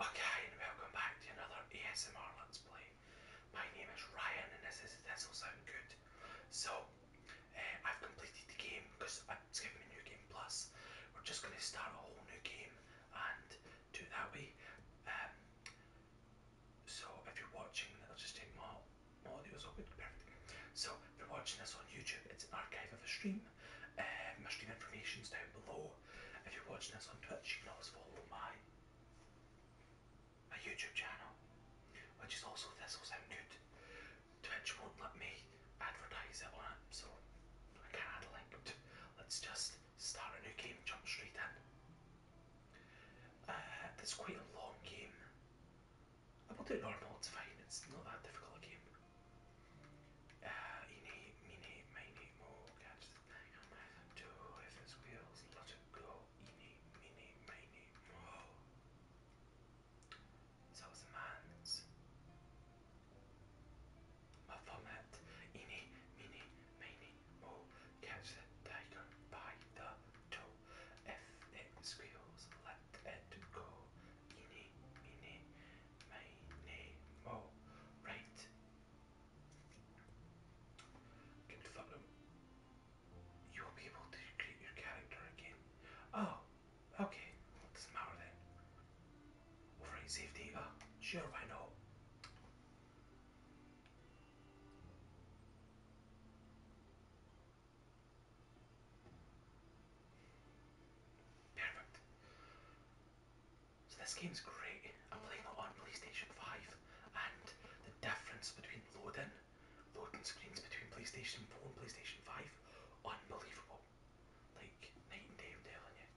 Okay, and welcome back to another ASMR Let's Play. My name is Ryan, and this is This Will Sound Good. So, eh, I've completed the game because it's giving me New Game Plus. We're just going to start a whole new game and do it that way. Um, so, if you're watching, it will just take more audio audio's open. Perfect. So, if you're watching this on YouTube, it's an archive of a stream. Uh, my stream information's down below. If you're watching us on Twitch, you can always follow my my YouTube channel, which is also This Also, Sound Good. Twitch won't let me advertise it on it, so I can't add a link. let's just start a new game, jump straight in. Uh, it's quite a long game. I will do it normal, it's fine, it's not that difficult a game. Uh, you need, you Catch the thing on my two if it squeals. Let it go. You need, me need, So it's man's. My vomit. You need, me need, Catch the tiger by the toe. If it squeals, let it go. You need, my name, oh, right. You will able to create your character again. Oh, okay. Doesn't matter then. Override safety. Oh, sure, why not? Perfect. So this game's great. I'm playing it on PlayStation 5 and the difference between loading, loading screens between PlayStation 4 and PlayStation 5, unbelievable. Like night and day I'm telling you.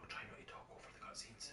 I'll try not to talk over the cutscenes.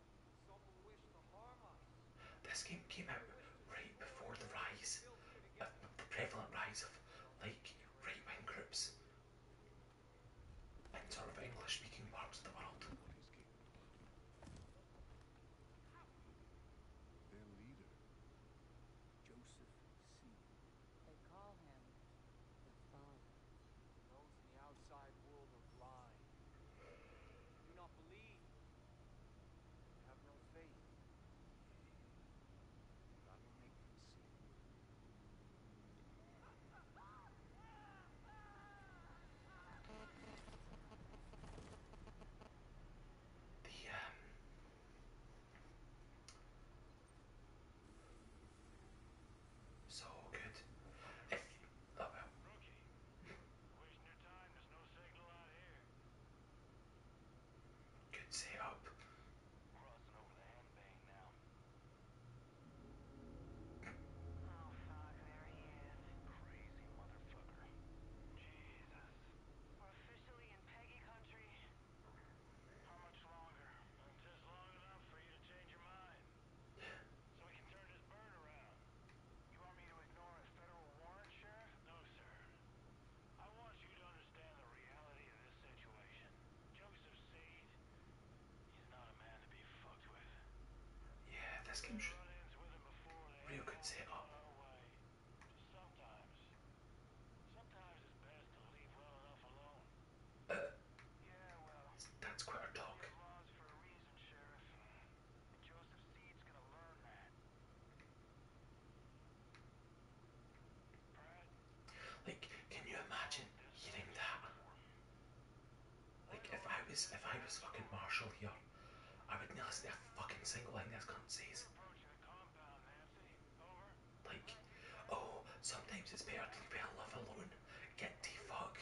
This game came out right before the rise, of the prevalent rise of like right-wing groups in sort of English-speaking parts of the world. Their leader, Joseph C. They call him the Father the outside world are blind. do not believe. have no faith. But will make them see. The, um, so good. If, oh, Wasting your time. There's no signal out here. Good save up. Crossing over the hand bane now. Oh fuck, there he is. Crazy motherfucker. Jesus. We're officially in Peggy country. How much longer? Just long enough for you to change your mind. So we can turn this bird around. You want me to ignore a federal warrant, Sheriff? No, sir. I want you to understand the reality of this situation. Joseph Seed, he's not a man to be fucked with. Yeah, this game should... Real good setup. Sometimes. Sometimes it's best to leave well enough alone. Uh, yeah, well, that's quite a talk. Sheriff. Joseph Seed's gonna learn that. like, can you imagine hearing that? Like, if I was, if I was fucking Marshall here, I wouldn't listen a fucking single thing this cunt says. Like, oh, sometimes it's better to leave alone. Get the fuck.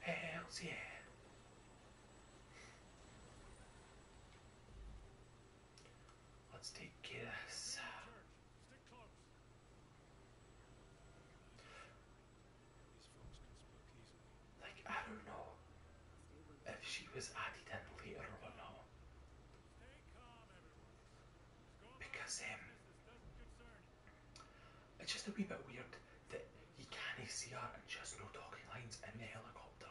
Hells yeah. Let's take Kiss. Uh, like, I don't know if she was added in later or not. Because um, it's just a wee bit weird that you can't see her and she has no talking lines in the helicopter.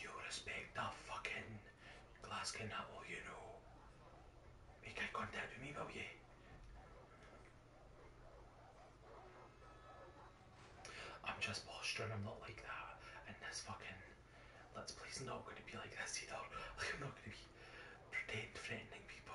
You respect that fucking Glasgow nut, all you know. Make eye contact with me, will you? I'm just posturing, I'm not like that. And this fucking Let's Play's not going to be like this either. I'm not going to be pretend threatening people.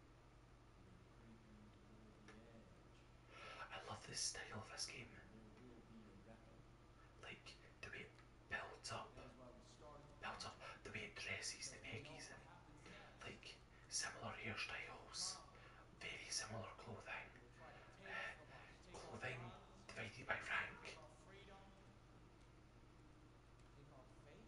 I love this style of this game. Like the way it builds up, builds up the way it dresses the Peggy's in. Like similar hairstyles, very similar clothing, uh, clothing divided by rank.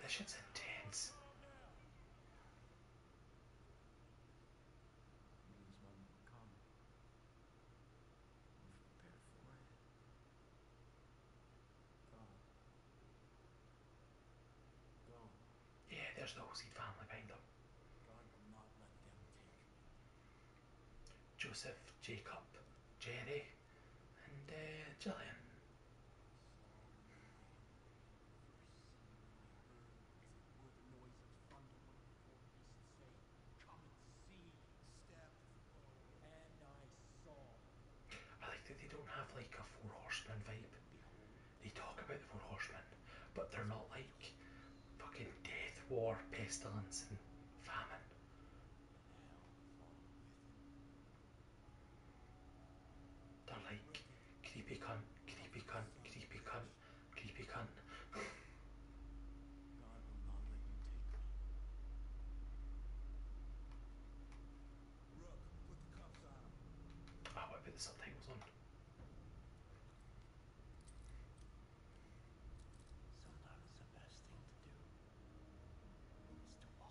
That shit's intense. Yeah, there's the Oseed family behind them. Joseph, Jacob, Jerry, and uh, I like that they don't have like a Four Horsemen vibe. They talk about the Four Horsemen, but they're not like fucking death, war, pestilence, and famine. They're like, creepy cunt, creepy cunt, creepy cunt, creepy cunt. Ah, what about the subtitles on? Sometimes the best thing to do is to walk.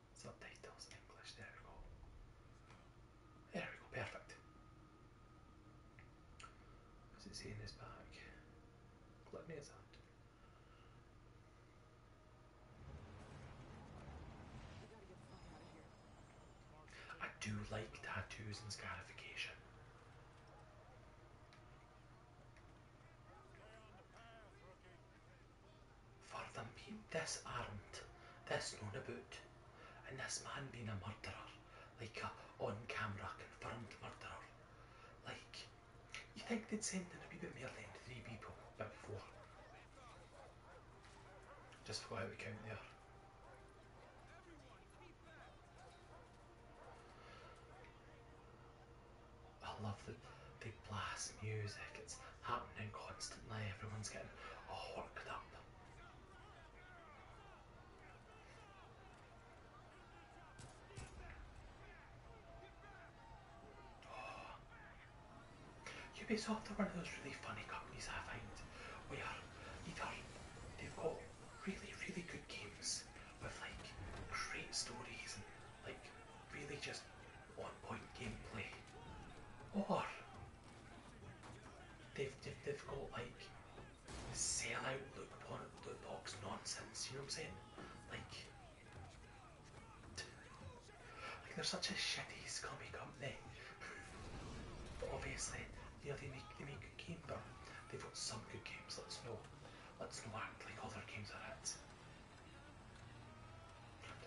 So English, there we go. There we go, perfect. What's it saying this back? Let me is I do like tattoos and scarification. For them being disarmed, this known about, and this man being a murderer, like a on-camera confirmed murderer. Like, you think they'd send in a wee bit more than three people, but four. Just for how we count there. I love the big blast music. It's happening constantly. Everyone's getting all worked up. Oh. Ubisoft are one of those really funny companies I find where either they've got really, really good games with like great stories like really just on point gameplay or they've, they've, got like sellout loot, por- loot box nonsense, you know what I'm saying? Like, like they're such a shitty, scummy company. but obviously, you they make, they make good games, but they've got some good games, let's know. Let's know. act like other games are hits.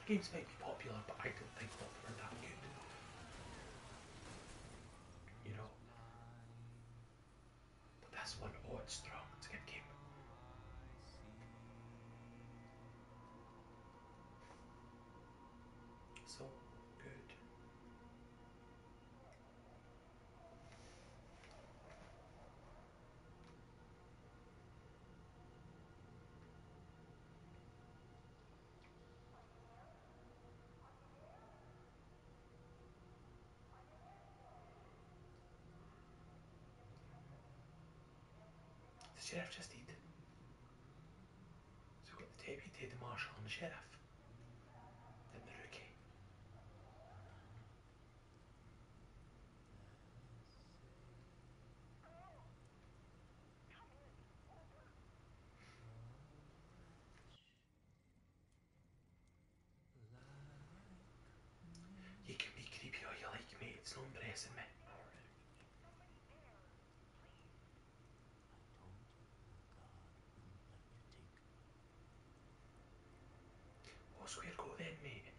The games might be popular, but I don't think that they were that good. You know? But this one, oh, it's strong. It's a game. So good. The sheriff just did. So we got the deputy, the marshal, and the sheriff. Then the rookie. You can be creepy all you like, mate. It's not impressing me. What's where go then,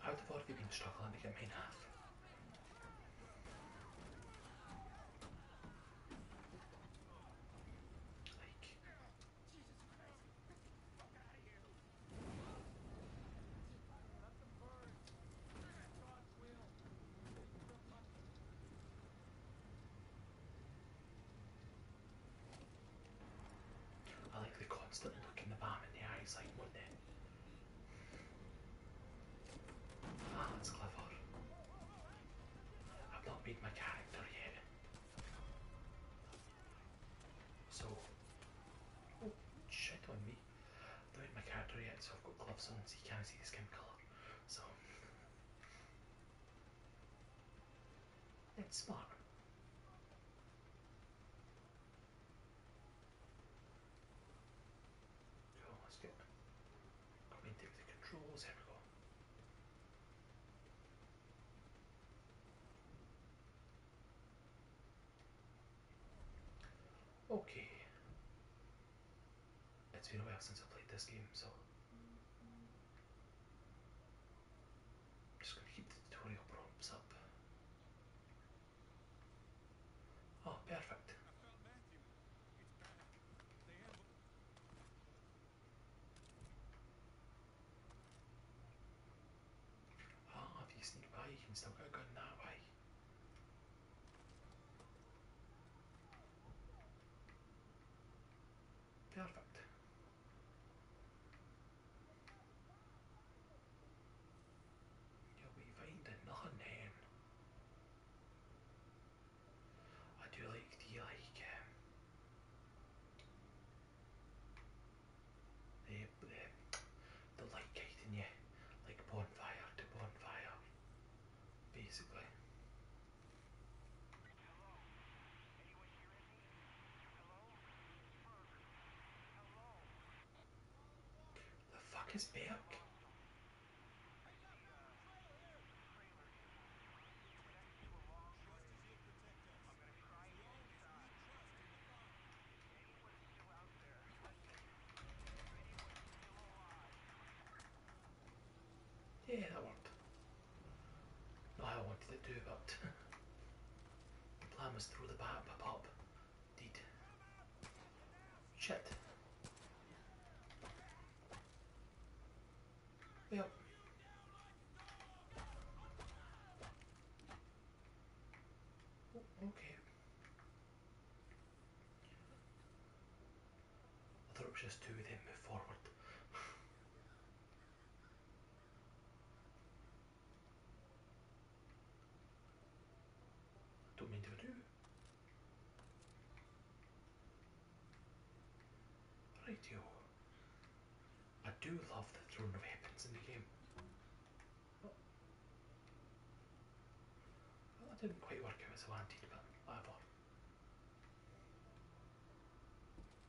How the fuck have you been struggling to get me half? Like... I like the constant looking the bomb in the eyes like wouldn't Monday. Ah, that's clever. I've not made my character yet. So, oh, shit on me. I've not made my character yet, so I've got gloves on so you can't see the skin colour. So, it's smart let's get Queen take the controls, there we go. Okay. It's been a while since I played this game, so Just gonna keep the tutorial prompts up. Oh, perfect. Ah, if you sneak by, you can still get a gun that way. Perfect. Ja, we find another name. I do like the like um, the, the light guiding you like bonfire to bonfire basically. The fuck is Bjork? Yeah, that worked. I wanted to do, but The plan was to throw the bat up, pop. Deed. Shit. Yep. okay. I thought it was just two of them move forward. De är inte för du. I do love the throne of weapons in the game. Well, that didn't quite work out as I wanted, but I whatever.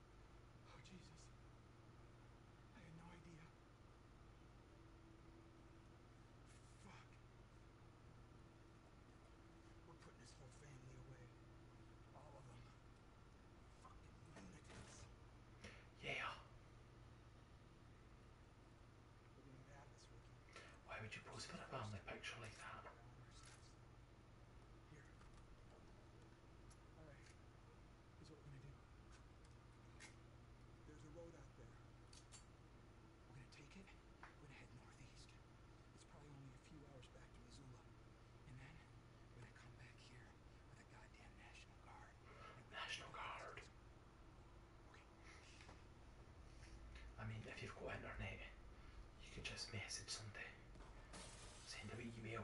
Oh, Jesus. I had no idea. Fuck. We're putting his whole family away. All of them. Fucking lunatics. Yeah. Why would you post a family picture like that? Here. All right, here's what we're gonna do. There's a road out there. We're gonna take it, we're gonna head northeast. It's probably only a few hours back to Missoula. And then, we're gonna come back here with a goddamn National Guard. National Guard? Okay. I mean, if you've got internet, you could just message somebody. Send a wee email.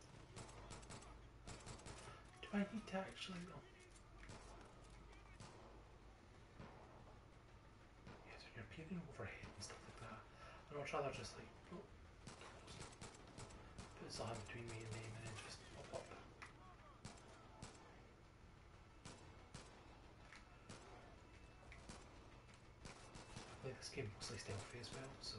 Do I need to actually... go? Yeah, so you're appearing overhead and stuff like that. I'd rather just like... Oh, something between me and them and then just pop this game mostly stealthy as well, so...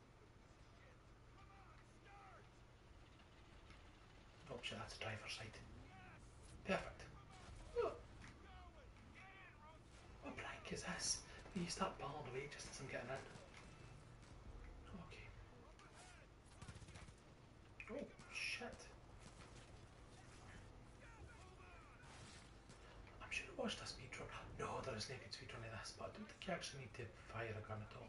Option that's driver's side. Perfect. Oh. What prank is this? You start balling away just as I'm getting in. Okay. Oh, shit. I'm sure I watched a speedrun. No, there is naked good on the this, but do you think you actually need to fire a gun at all.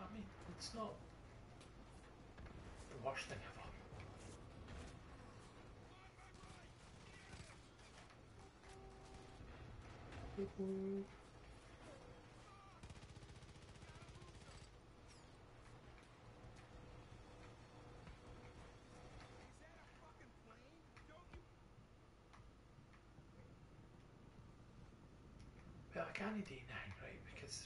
I mean, it's not the worst thing ever. Woo-hoo. fucking plane? Well, I can't do anything, right? Because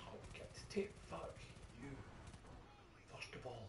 Oh, get to take fuck you. First of all.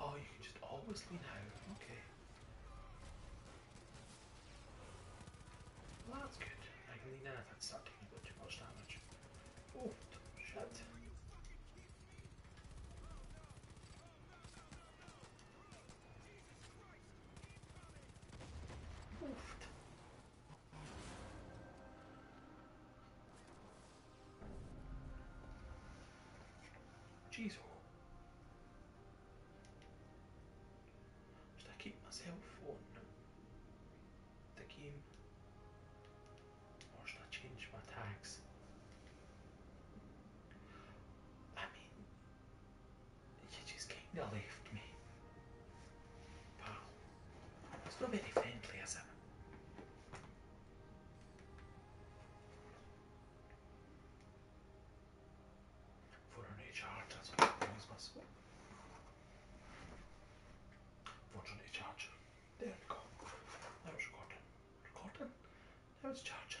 Oh, you can just always lean out. Okay. Well, that's good. I can lean out. That's not taking too much damage. Oh, shit. Oof. Jeez. Should I keep my cell phone? the game? Or should I change my tags? I mean, you just kinda left me. Pal, it's not very friendly, is it? For an HR transport bus. What should I charge? There we go. That was recording. Recording? That was charging.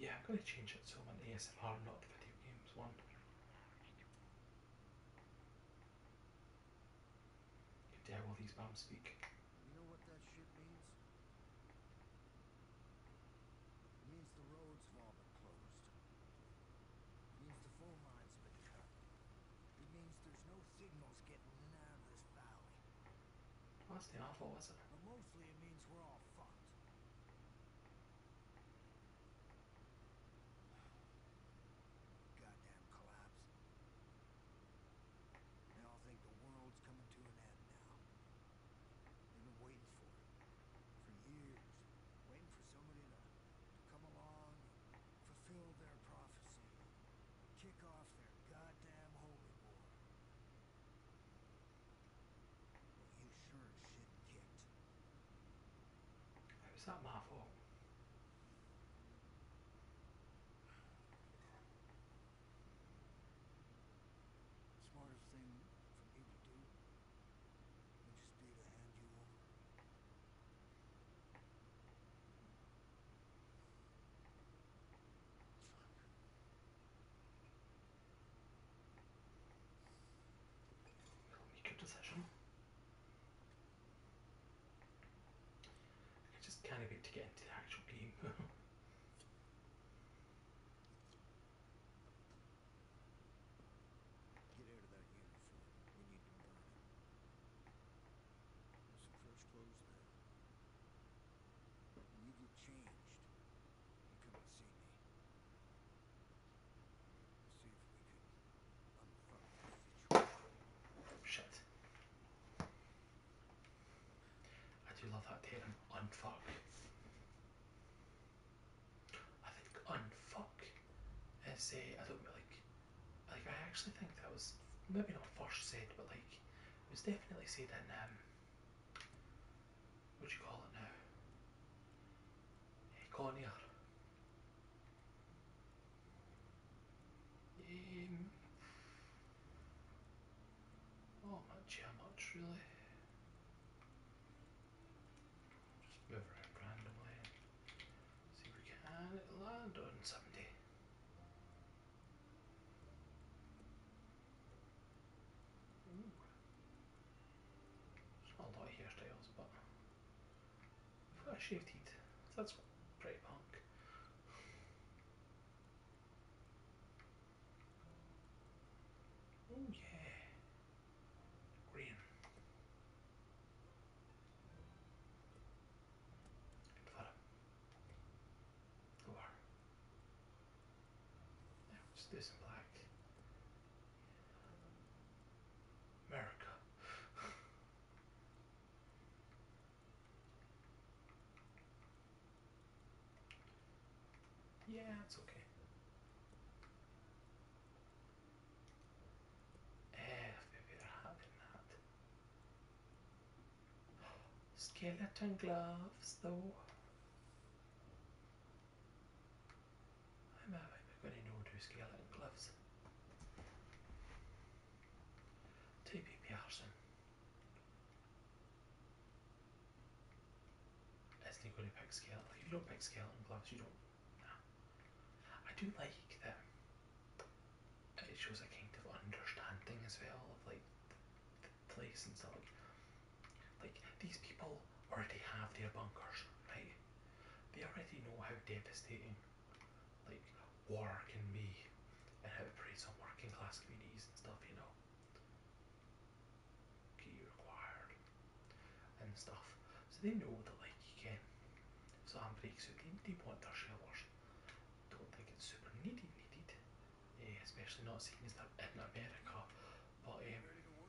Yeah, I'm going to change it so I'm an ASMR, not video games one. Dare will these bombs speak. It means the roads have all been closed. It means the phone line's been cut. It means there's no signals getting out of this valley. Well, that's awful, wasn't it? Goddamn collapse. They all think the world's coming to an end now. They've been waiting for it. For years. Waiting for somebody to, come along and fulfill their prophecy. Kick off their goddamn holy war. you sure shit kicked. It's not my fault. smartest thing for me to do would just be to hand you over. Make a decision. I just kind of get to get into the actual game. get out of that uniform. We need some fresh clothes there. When you come and see me. Shit. I do love that term, unfuck. I think unfuck is, uh, I don't like, like I actually think that was maybe not first said, but like it was definitely said in um, what do you call it now? Hey, eh, um, not much really. Just move around randomly. See if we can land on somebody. There's a lot of hairstyles, but I've shaved heat. That's pretty punk. Oh yeah. Green. Good fella. Go just do some black. America. yeah, it's okay. If we're having that. Skeleton gloves, though. I'm out. going to order skeleton gloves. Two PPRs in. Isn't he going to pick skeleton? Like, if you don't pick and gloves, you don't. I do like that it shows a kind of understanding as well of like the place and stuff. like these people already have their bunkers, right? They already know how devastating like war can be and how it breaks on working class communities and stuff, you know. Key required and stuff. So they know that like you can if breaks out they, they want their shelters. Don't think it's super needy needed. Uh, especially not seeing as they're in America. But um,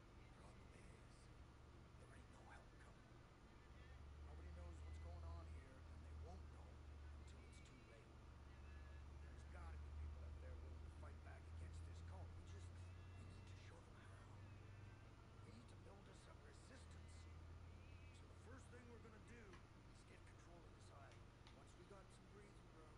there ain't no help coming. Nobody knows what's going on here, and they won't know until it's too late. There's gotta be people out there willing to fight back against this cult. We just, we need to show them how. We need to build us up resistance. So the first thing we're gonna do is get control of this island. Once we got some breathing room,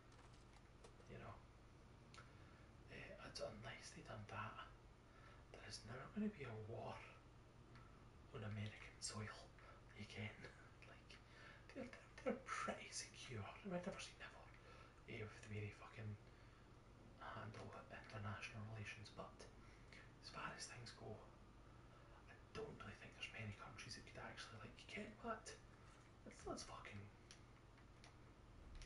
You know, uh, it's unless they done that, there is never going to be a war on American soil again. like, they're, they're, pretty secure. I've never seen that before. Uh, with the way they fucking handle international relations, but as far as things go, I don't really think there's many countries that could actually like get what. Let's let's fucking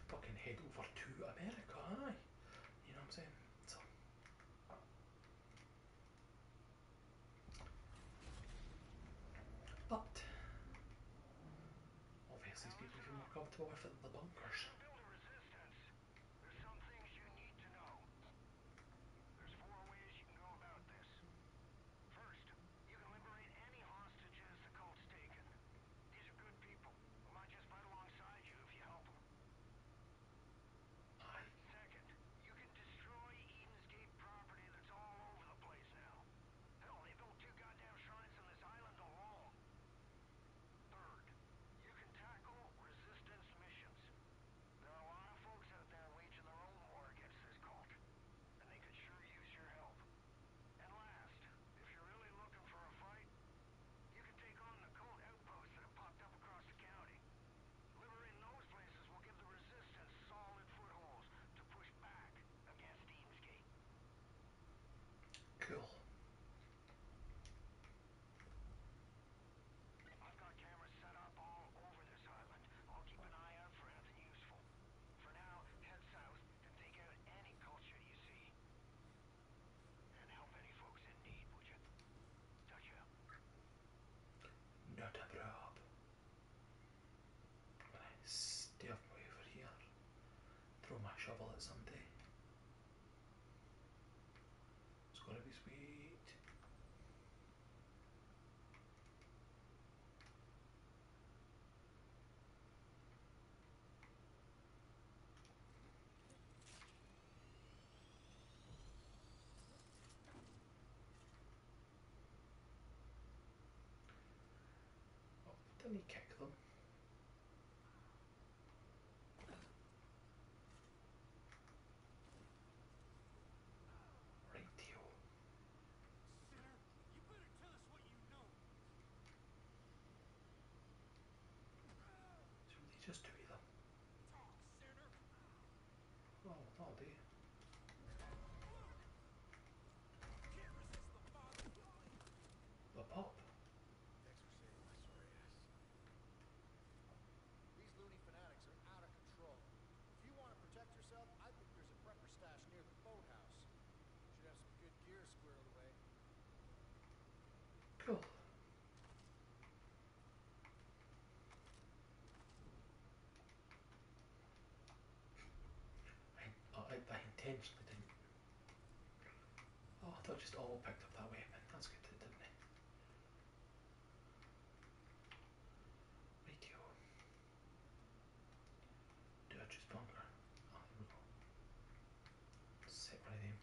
fucking head over to America, aye. You know what I'm saying? So. But, obviously, these people feel more comfortable with it than the bunkers. First, you can liberate any hostages the cult's taken. These are good people who might just fight alongside you if you help them. Second, you can destroy Eden's Gate property that's all over the place now. Hell, they built two goddamn shrines on this island alone. Third, you can tackle resistance missions. There are a lot of folks out there waging their own war against this cult, and they could sure use your help. And last, if you're really looking for a fight, you can take on the cold outposts that have popped up across the county. Liberating those places will give the resistance solid footholds to push back against Eamsgate. Cool. I've got cameras set up all over this island. I'll keep an eye out for anything useful. For now, head south to take out any culture you see. And help any folks in need, would you? Not a problem. I stay over here. Throw my shovel at somebody. It's gonna be sweet. Don't he kick them? Radio just two of Well, that'll do. Oh, oh, the pop. These loony fanatics are out of control. If you want to protect yourself, I think there's a prepper stash near the boathouse. You should have some good good Cool. I, oh, I, I intentionally didn't. Oh, I thought just all picked up that way, man. That's good, didn't it? Rightio. Do I choose bunker? I don't know. Separate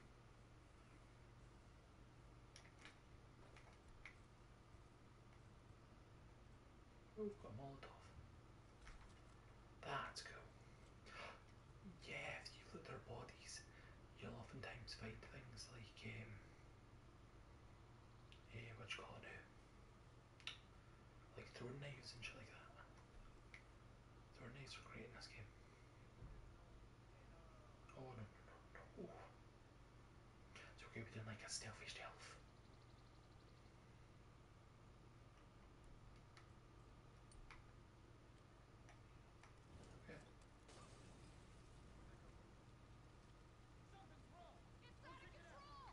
we've got Moldov. That's cool. Yeah, if you look at their bodies, you'll oftentimes find things like, um, eh, what you call it like throwing knives and shit like that. Throwing knives were great in this game. Oh no, no, no, no. It's okay, we didn't like a stealthy stealth. Okay. Something's wrong. It's out of control.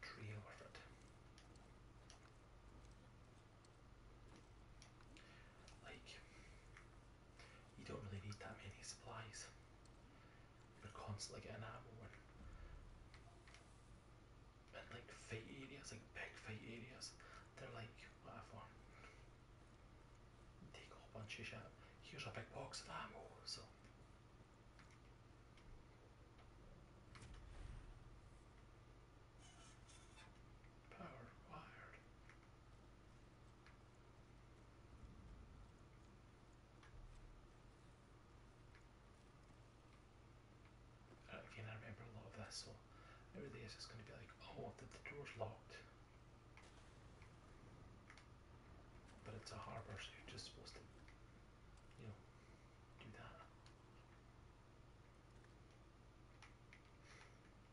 Three over that. Like, you don't really need that many supplies. You're constantly getting ammo and, like fight areas, like big fight areas, they're like whatever Take a whole bunch Here's a big box of ammo. So. Power wired. I remember a lot of this, so now this is going to be like, oh, the, the door's locked. But it's a harbor, so you're just supposed to, you know, do that.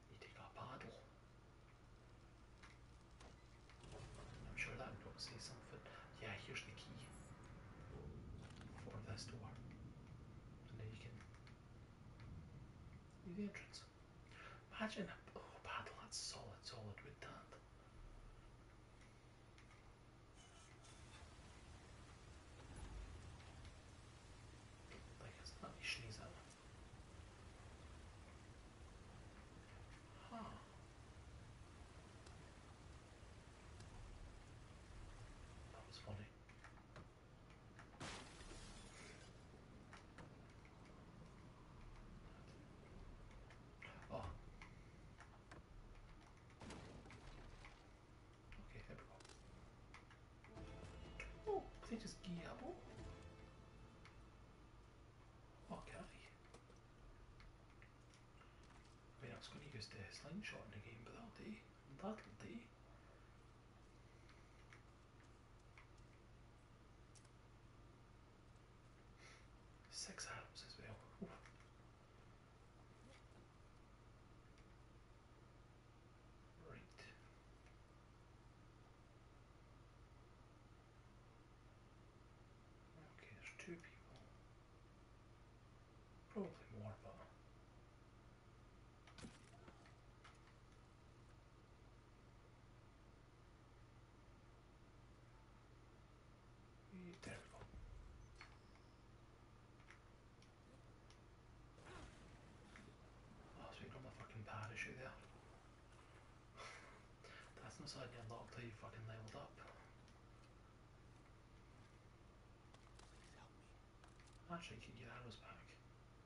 You take a paddle. I'm sure that would say something. Yeah, here's the key for this door. And you can do entrance. Imagine a oh, paddle that's solid, solid with that. Like it's not you sneeze Huh. That was funny. Oh. Okay, Oh, they just Guillermo? Oh, can I? I mean, I was going to use the slingshot in but that'll do. That'll do. Six atoms as well. Right. Okay, there's two people. Probably more, but... There we go. Oh, so you got my fucking parachute there. That's not something you unlock till you fucking leveled up. Actually, you can get arrows back.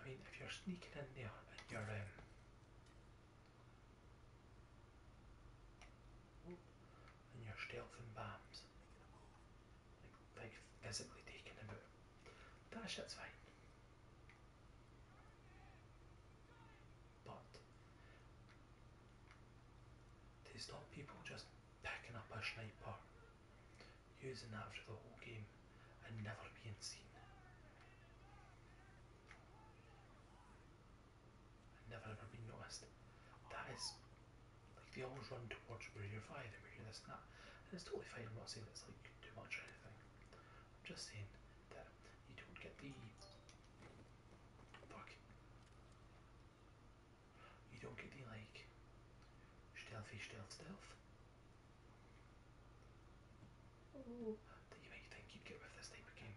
I mean, if you're sneaking in there and you're um, and you're stealthing bombs, like, like physically taking them out, that shit's fine. But there's not people just picking up a sniper, using that for the whole game, and never being seen. never ever being noticed. That is, like, they always run towards where you're firing, where you're this and that. And it's totally fine, I'm not saying it's like do much anything. I'm just saying that you don't get the fuck. You don't get the like stealthy stealth stealth. That you might think you'd get with this type of game.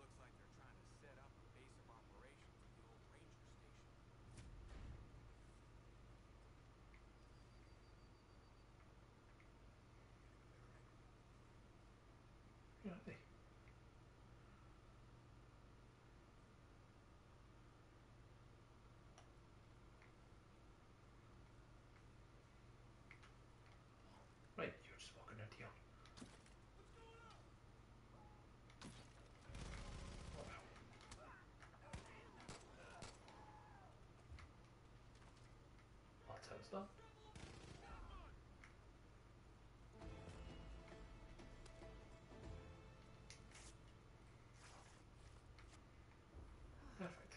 Looks like they're trying to set up a base of operations at the old ranger station. Yeah, I think. Right, you're just walking out here. Oh, wow. Lots Perfect.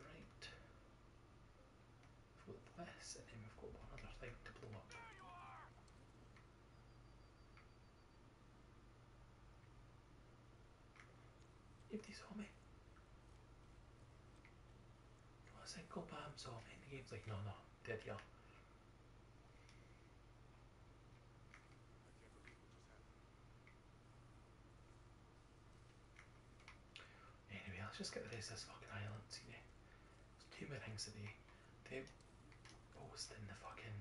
Right. we this, and then we've got one other thing to blow up. If they saw me. Not a "Go, bomb saw me, and the game's like, no, no, dead, y'all." Anyway, let's just get the rest of this fucking island, see? know. There's too many things today. They post in the fucking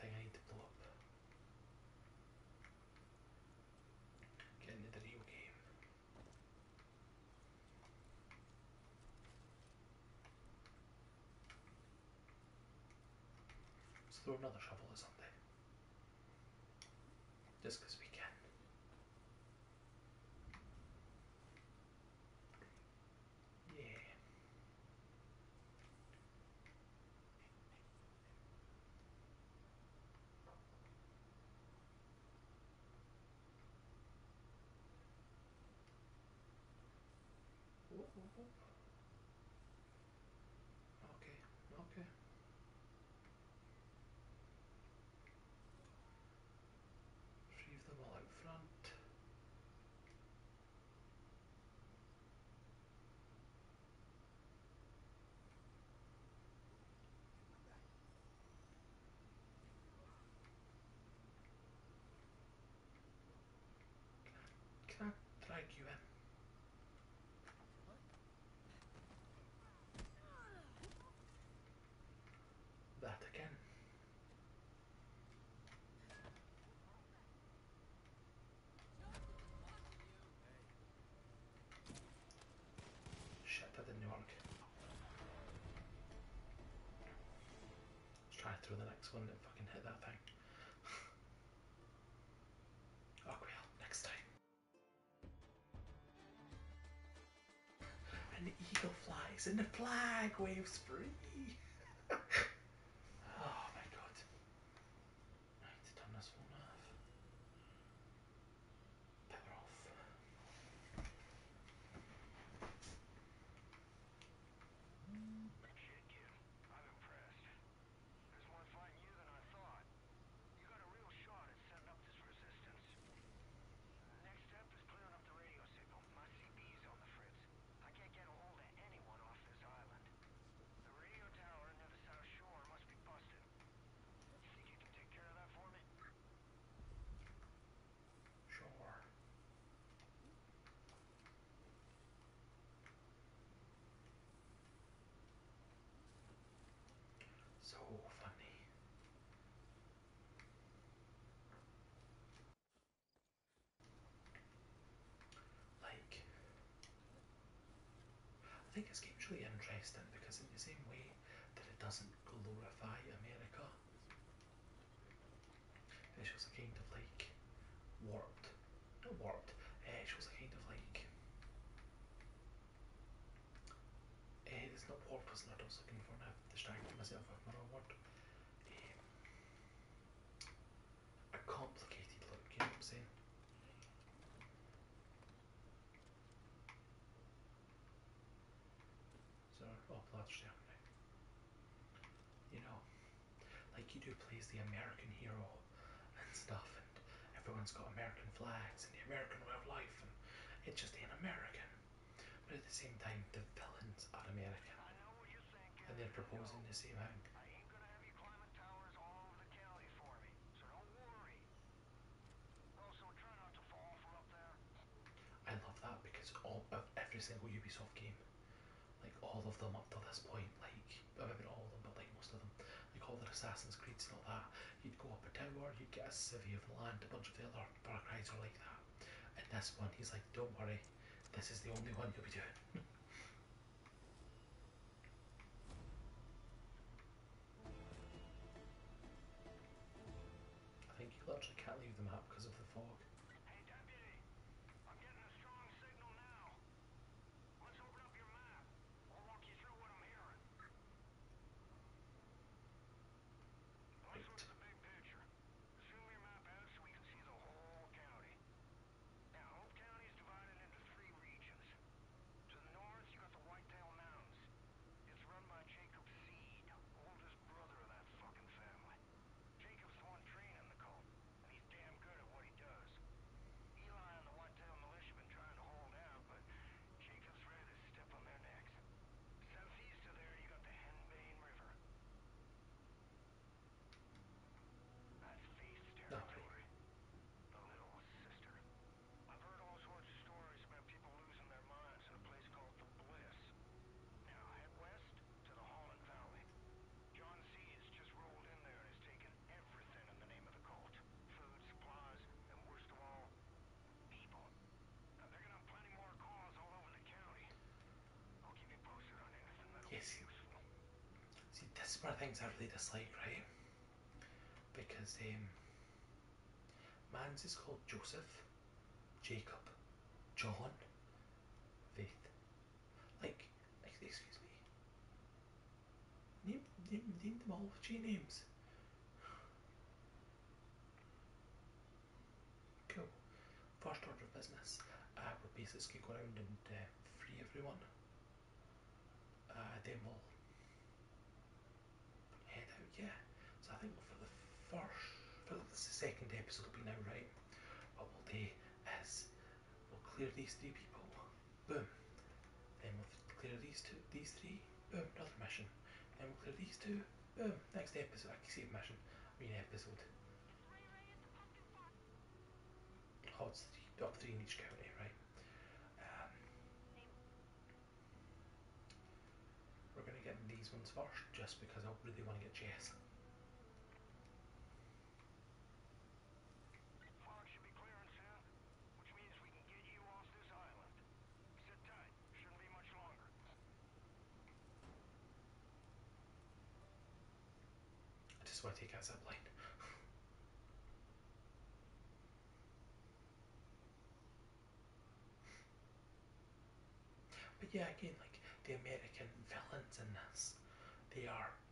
thing I need to pull up. Get into the real game. Let's throw another shovel or something. Just because we can. Yeah. Okay, okay. Leave them all out front. Can I, drag you in? That again. Shit, that didn't Let's try and throw the next one and fucking hit that thing. next time. And the eagle flies and the flag waves free. oh my god. Right, turn this one off. Power off. There's more fighting you than I thought. You got a real shot at setting up this resistance. Next step is clearing up the radio signal. My CB's on the fritz. I can't get a hold of anyone off this island. The radio tower near the south shore must be busted. You think you can take care of that for me? Sure. So funny. Like, I think this game's really interesting because, in the same way that it doesn't glorify America, she was a kind of like warped, not warped. Uh, it shows a kind of like uh, it's not warped. It's not what I was looking for. Now distracted myself with another word. Um, eh, a complicated look. You know what I'm saying? So, oh, that's down you know, like you do plays the American hero and stuff, and everyone's got American flags and the American way of life, and it's just an American. But at the same time, the villains are American, and they're proposing the same thing. I love that because all of every single Ubisoft game like all of them up to this point, like I mean all of them, but like most of them, like all the Assassin's Creeds and all that, you'd go up a tower, you'd get a city of the land, a bunch of the other park Cry's are like that. And this one, he's like, don't worry, this is the only one you'll be doing. I think you literally can't leave the map because of the fog. Let's open up your map. I'll you through what I'm hearing. Let's look at the big picture. Zoom your map out so we can see the whole county. Now, Hope County divided into three regions. To the north, you got the Whitetail Mountains. It's run by Jacob Seed, oldest brother of that fucking family. Jacob's one trained the cult, and he's damn good at what he does. Eli and the Whitetail Militia been trying to hold out, but Jacob's ready to step on their necks. Southeast of there, you got the Henbane River. That's feast territory. The little sister. I've heard all sorts of stories about people losing their minds in a place called the Bliss. Now, head west, to the Holland Valley. John C. has just rolled in there and has taken everything in the name of the cult. Food, supplies, and worst of all, people. they're gonna have plenty more calls all over the county. I'll keep you posted on anything yes. useful. See, this is the things I really dislike, right? Because, um, man's is called Joseph, Jacob, John, Faith, like, excuse me. Name, name, name them all with J names. Cool. First order of business. Uh, we'll base this around and uh, free everyone. Uh, then we'll head out. Yeah. So I think for the first, for the second episode will be now right. What we'll do is We'll clear these three people. Boom. Then we'll clear these two, these three. Boom, another mission. Then we'll clear these two. Boom, next episode. I can see a mission. I mean episode. Hot three, up three in each county, right? Um, we're gonna get these ones first, just because I really want to get chess. Fog should be clearing soon, which means we can get you off this island. Sit tight. Shouldn't be much longer. I just want to take out that plane. but yeah, again, like the American villains in this, they are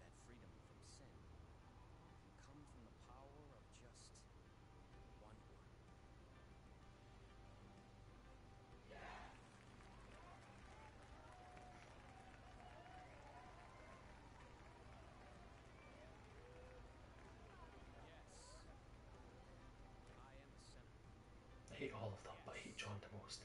That freedom from sin can come from the power of just one word. Yeah! Yes. I I hate all of them, but I hate John the most.